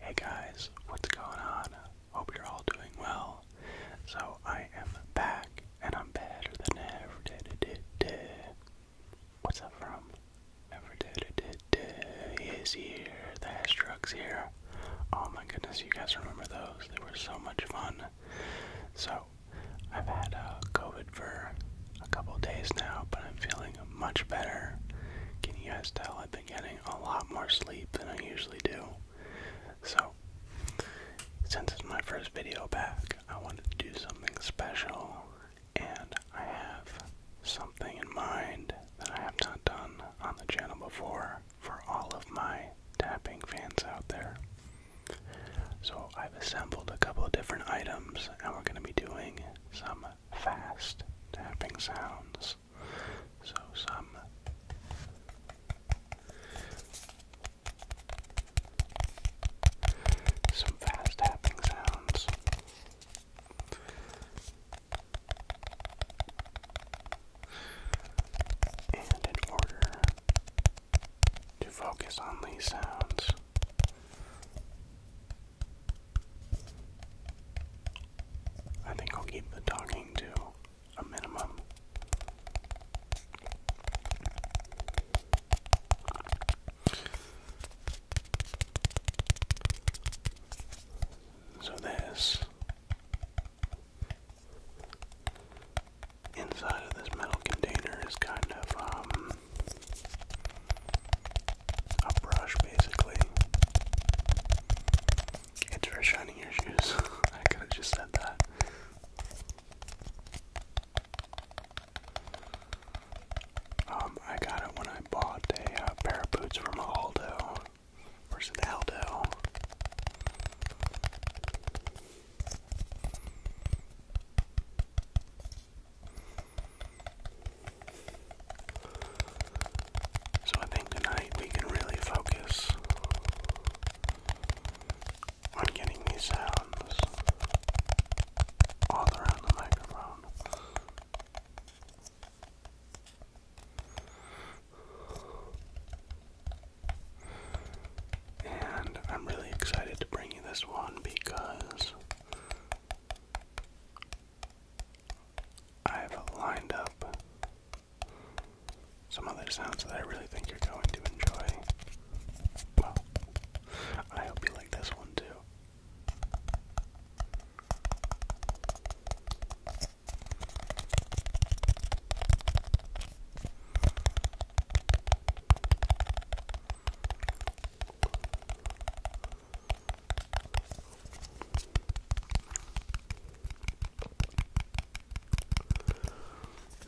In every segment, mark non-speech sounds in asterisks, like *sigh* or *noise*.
Hey guys, what's going on? Hope you're all doing well. So I am back and I'm better than ever. Did, did, What's that from? Never did, did, did. He is here. The Hashtruck's here. Oh my goodness, you guys remember those? They were so much fun. So I've had uh, COVID for a couple days now, but I'm feeling much better. Can you guys tell? I've been getting a lot more sleep than I usually do. So, since it's my first video back, I wanted to do something special, and I have something in mind that I have not done on the channel before for all of my tapping fans out there. So, I've assembled a couple of different items, and we're going to be doing some fast tapping sounds. So some some fast tapping sounds. And in order to focus on these sounds, I think I'll keep the talking to a minimum. So this inside of this metal container is kind of um a brush basically. It's your shoes. *laughs* I could have just said that. Um, I got it when I bought a uh, pair of boots from Aldo. Where's an Aldo? So I think tonight we can really focus on getting these sounds all around the microphone. And I'm really excited to bring you this one because I've lined up some other sounds that I really think you're going to enjoy. Well, I hope you like this one too.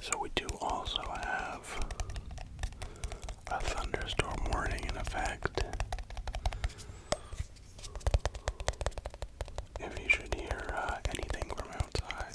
So we do also have a thunderstorm warning in effect. If you should hear uh, anything from outside.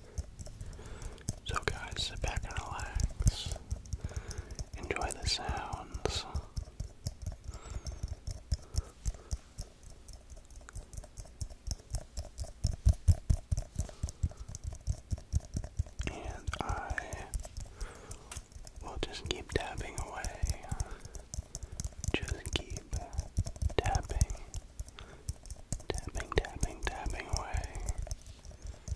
So, guys, sit back and relax. Enjoy the sounds. And I will just keep tapping away. Just keep tapping, tapping, tapping, tapping away.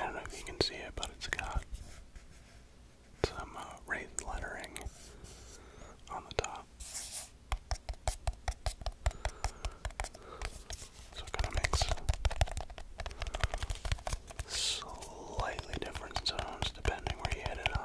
I don't know if you can see it, but it's got some uh, raised lettering on the top. So it kind of makes slightly different zones depending where you hit it on.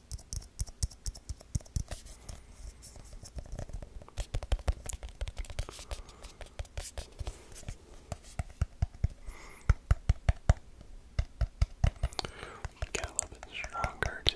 Get a little bit stronger too.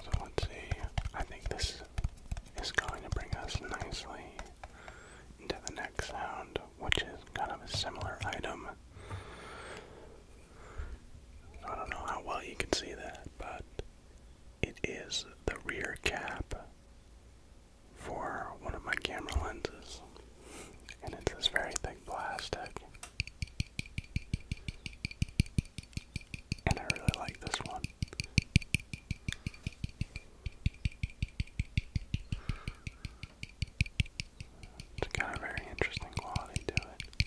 So let's see. I think this is going to bring us nicely into the next sound, which is kind of a similar item. I don't know how well you can see that, but it is the rear cap for one of my camera lenses, and it's this very thick plastic. And I really like this one. It's got a very interesting quality to it.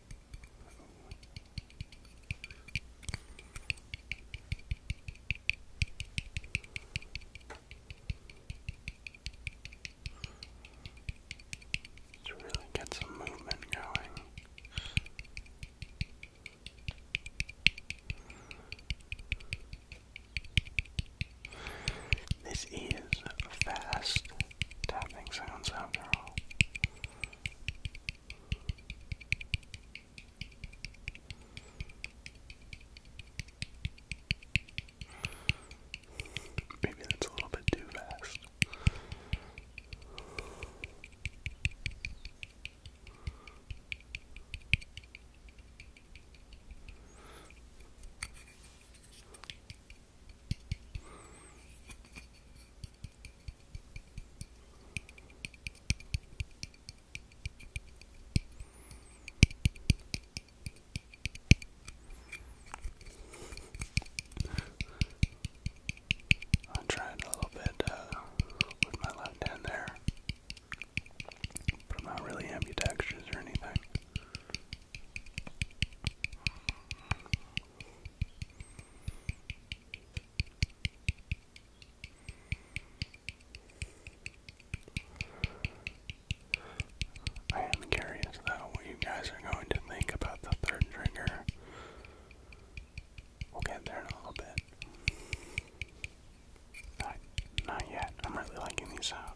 Let's really get some movement going. This is fast tapping sounds after all. Maybe that's a little bit too fast. I tried a little bit uh, with my left hand there, but I'm not really ambidextrous or anything. I am curious though what you guys are going to think about the third trigger. We'll get there in a little bit. Not, not yet. I'm really liking these out.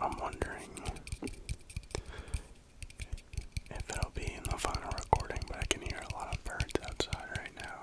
I'm wondering if it'll be in the final recording, but I can hear a lot of birds outside right now.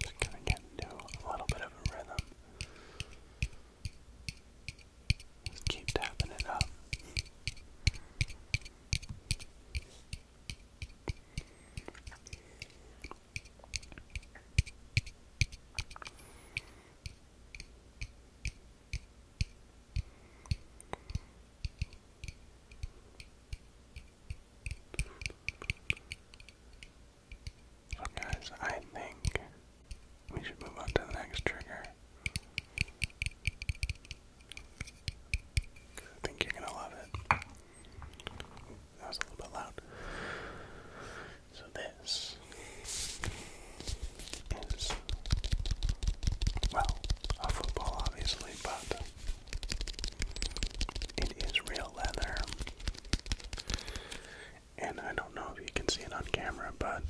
Just gonna get into a little bit of a rhythm. Just keep tapping it up. So guys, I think we should move on to the next trigger. I think you're gonna love it. That was a little bit loud. So this is, well, a football obviously, but it is real leather. And I don't know if you can see it on camera, but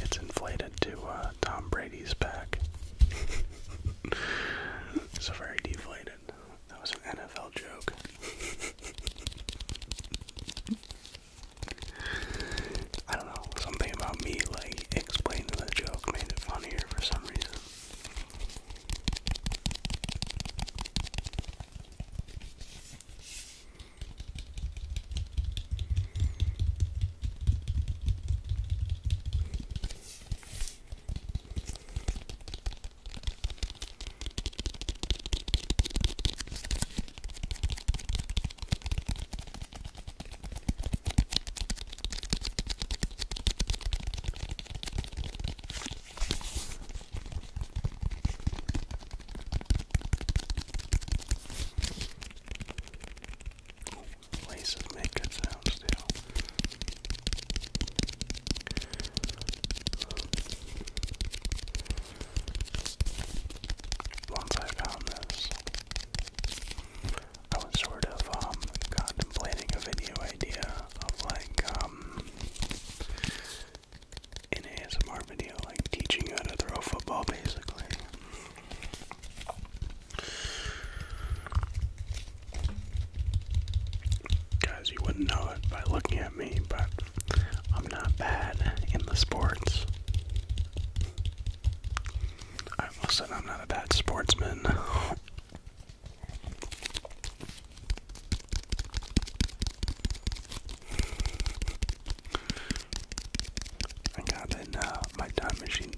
it's inflated to uh, Tom Brady's back. so *laughs* very deflated. That was an NFL joke. *laughs* I don't know, something about me like explaining the joke made it funnier for some reason. Laces make good sounds too. Once I found this, I was sort of um, contemplating a video idea of like um, an ASMR video, like teaching how to throw a football, basically. Guys, you wouldn't know it by looking at me, but I'm not bad in the sports. I almost said I'm not a bad sportsman. I got in uh, my time machine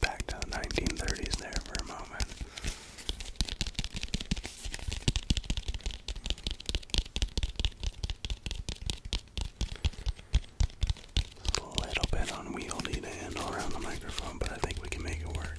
back to the 1930s there for a moment. A little bit unwieldy to handle around the microphone, but I think we can make it work.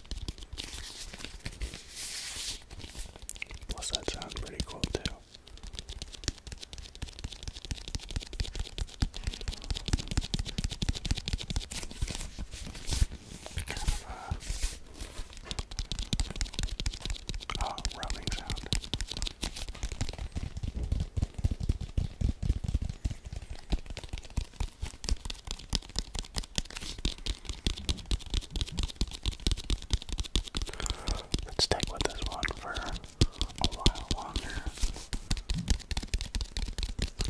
What's that sound? pretty cool too. Uh, oh, rubbing sound. Let's stick with this one for a while longer.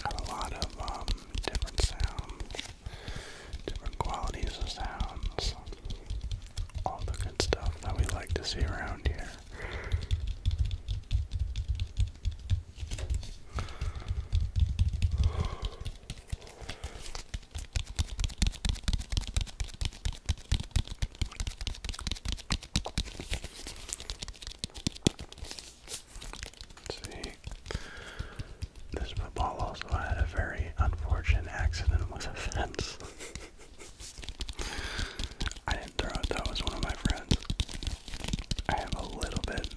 Got a lot of um, different sounds, different qualities of sounds, all the good stuff that we like to see around here see. This football also had a very unfortunate accident with a fence. I didn't throw it, that was one of my friends. I have a little bit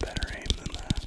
better aim than that.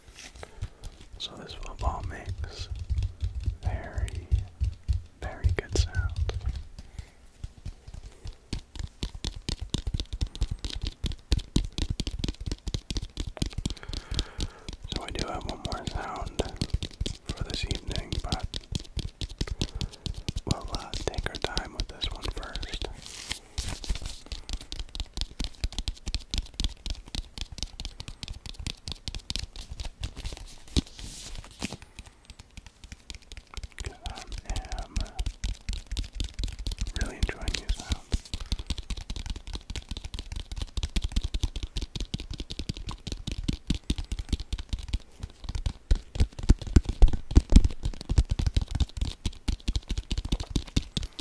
So this football makes very, very good sound. So I do have one more sound for this evening, but we'll uh, take our time with this one first. Because I am really enjoying these sounds. All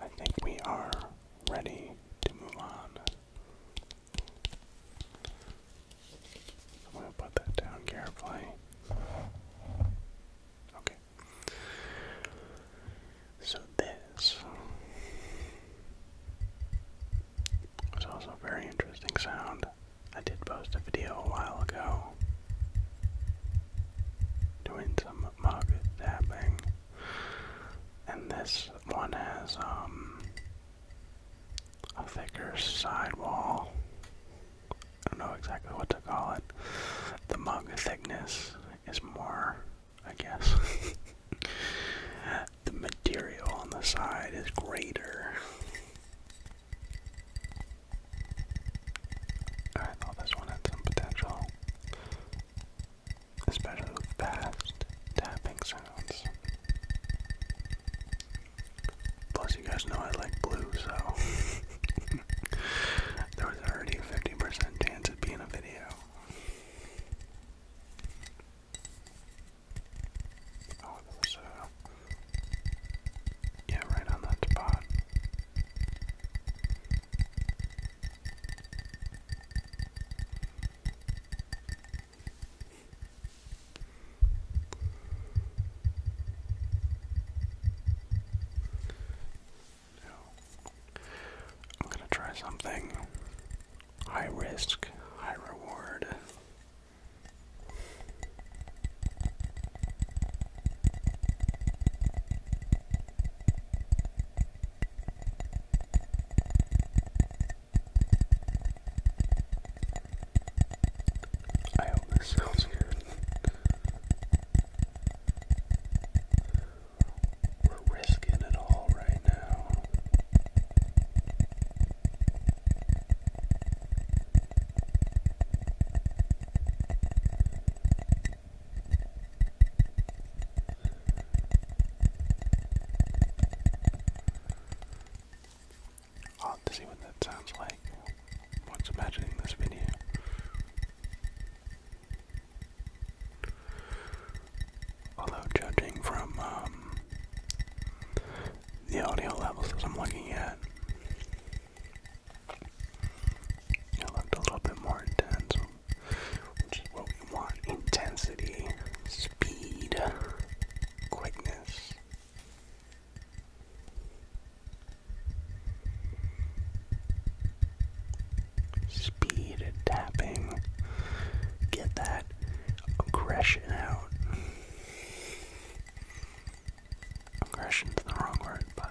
I think we are ready to move on. I'm going to put that down carefully. Okay. So this was also a very interesting sound. I did post a video a while ago doing some mug dabbing. And this one has um a thicker sidewall. I don't know exactly what to call it. The mug thickness is more I guess. *laughs* the material on the side is greater. I thought this one had some potential. Especially with fast tapping sounds. Plus, you guys know I like blue, so *laughs* there was already a 50% chance of being a video. Oh, there's uh, Yeah, right on that spot. No. I'm gonna try something high risk, high reward. I hope this sounds good. We're risking it all right now. Odd to see what that sounds like once imagining this video. Although judging from um, the audio levels that I'm looking at, it looked a little bit more intense, which is what we want: intensity, speed, quickness. Speed tapping. Get that aggression out. Aggression's the wrong word, but.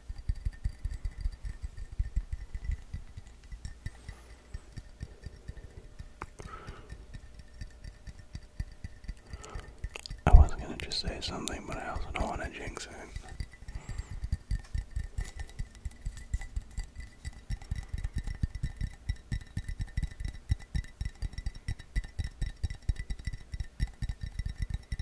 I was gonna just say something, but I also don't want to jinx it.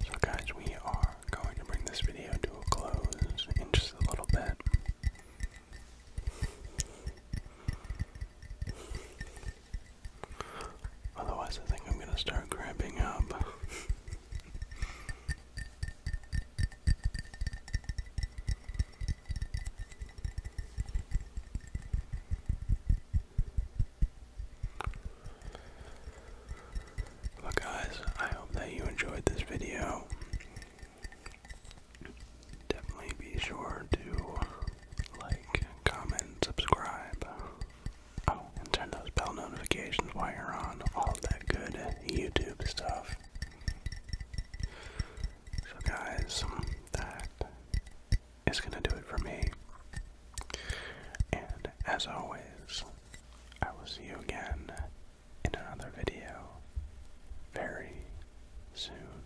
So, guys, we are going to bring this video to a close in just a little bit. Otherwise, I think I'm going to start grabbing up well, guys, I hope that you enjoyed this video. Definitely be sure to like, comment, subscribe, oh, and turn those bell notifications while you're on. All that good YouTube stuff. So, guys, that is going to do it for me. And as always, I will see you again in another video very soon.